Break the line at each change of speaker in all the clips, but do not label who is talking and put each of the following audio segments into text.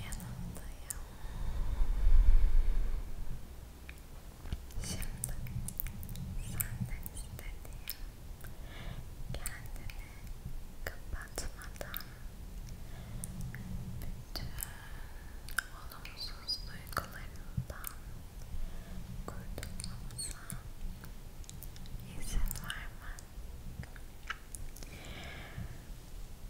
yanındayım. Şimdi senden istediğim kendini kapatmadan bütün olumsuz duygularından kurtulmamıza izin vermen.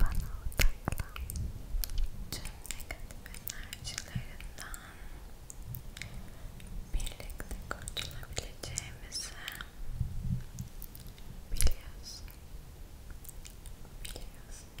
Bana odaklan. Tüm negatif enerjilerinden birlikte kurtulabileceğimizi biliyorsun. Biliyorsun. Biliyorsun.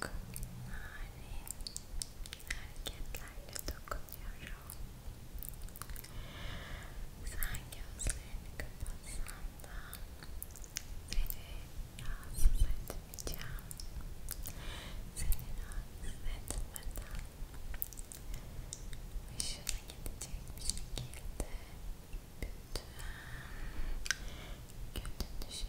çok narin hareketlerle dokunuyorum. Sen gözlerini kapatsan da seni rahatsız etmeyeceğim. Seni rahatsız etmeden hoşuna gidecek bir şekilde bütün kötü düşünceleri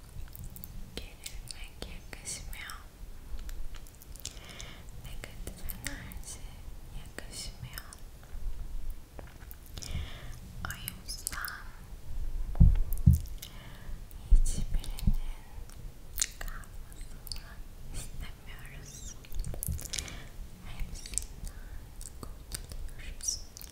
gerilmek yakışmıyor. Negatif enerji yakışmıyor. O yüzden hiçbirinin kalmasını istemiyoruz. Hepsinden kurtuluyoruz.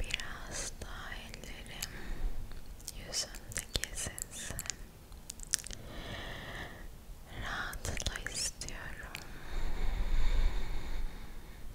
Biraz daha ellerim yüzündeki sesi rahatla istiyorum. Rahatla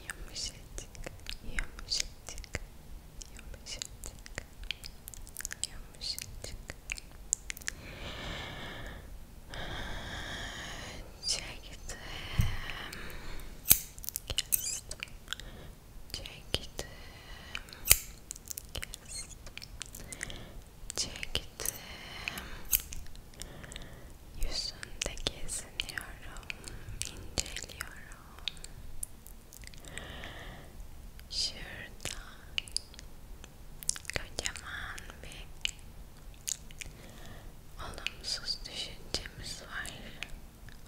Yumuşacık, yumuşacık, yumuşacık, yumuşacık. Çektim, kestim, çektim, kestim, çektim, Yüzünde geziniyorum, inceliyorum. Şurada kocaman bir olumsuz düşüncemiz var.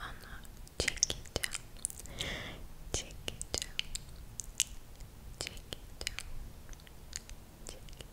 Onu çekeceğim, çekeceğim, çekeceğim, çekeceğim, çekeceğim,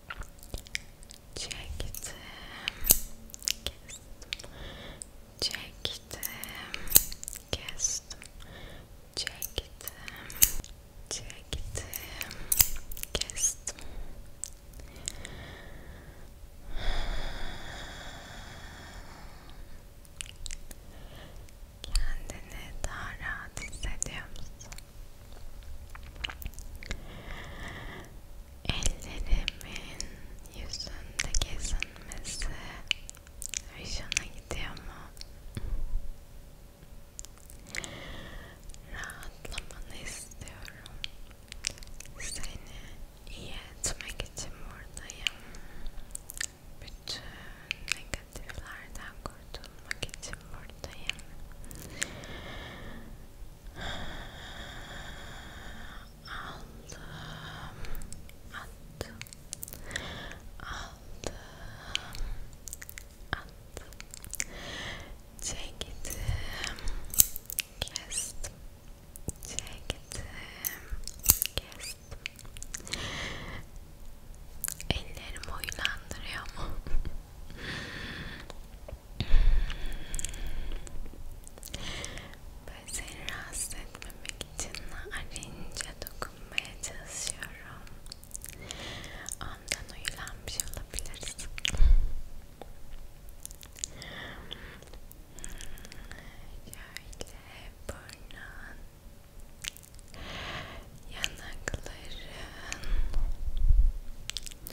çektim kestim çektim kestim çektim çektim kestim Kendini daha rahat hissediyor musun? Ellerimin yüzünde gezinmesi hoşuna gidiyor mu? Rahatlamanı istiyorum. Seni iyi etmek için buradayım. Bütün negatiflerden
kurtulmak için buradayım. Aldım, attım, aldım, attım, çektim, kestim, çektim, kestim. Ellerim huylandırıyor mu? Böyle seni rahatsız etmemek için arayınca dokunmaya çalışıyorum. Ondan uyulanmış olabilirsin. Şöyle burnun, yanakların,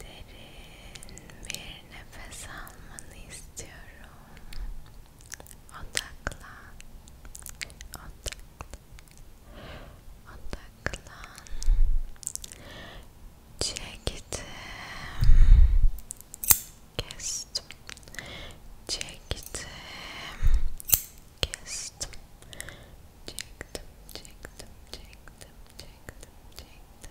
Derin bir nefes almanı istiyorum. Odaklan. Odaklan. Odaklan. Çektim. Kestim. Çektim. Kestim. Çektim, çektim, çektim, çektim, çektim,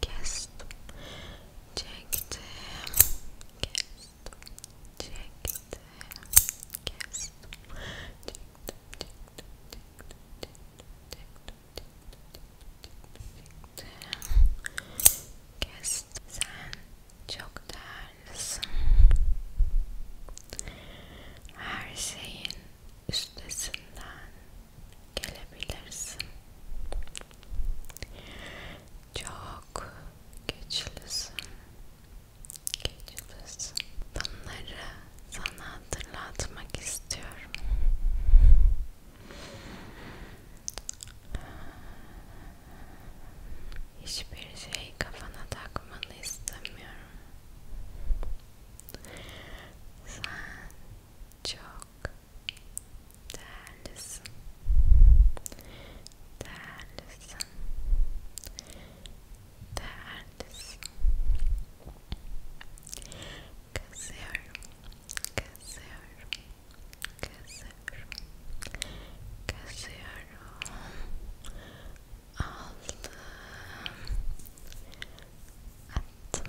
kestim çektim kestim çektim kestim çektim çektim çektim kestim sen çok değerlisin her şeyin üstesinden gelebilirsin çok güçlüsün. Güçlüsün. Bunları sana hatırlatmak istiyorum. Hiçbir şey kafana takmanı istemiyorum. Sen çok Değerlisin. Değerlisin. Değerlisin. Kazıyorum. Kazıyorum. Kazıyorum. Kazıyorum. Aldım. Attım.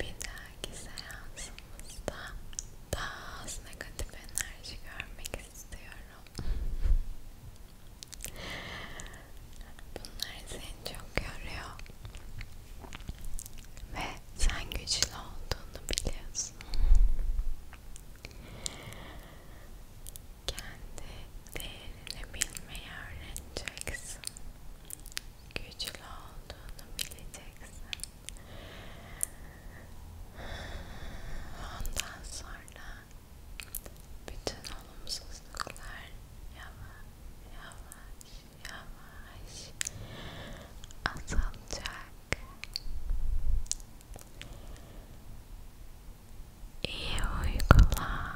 Bir dahaki seansımızda daha az negatif enerji görmek istiyorum.
Bunlar seni çok yoruyor ve sen güçlü olduğunu biliyorsun. Kendi değerini bilmeyi öğreneceksin güçlü olduğunu bileceksin. Ondan sonra bütün olumsuzluklar yavaş yavaş yavaş azalacak. İyi uykular.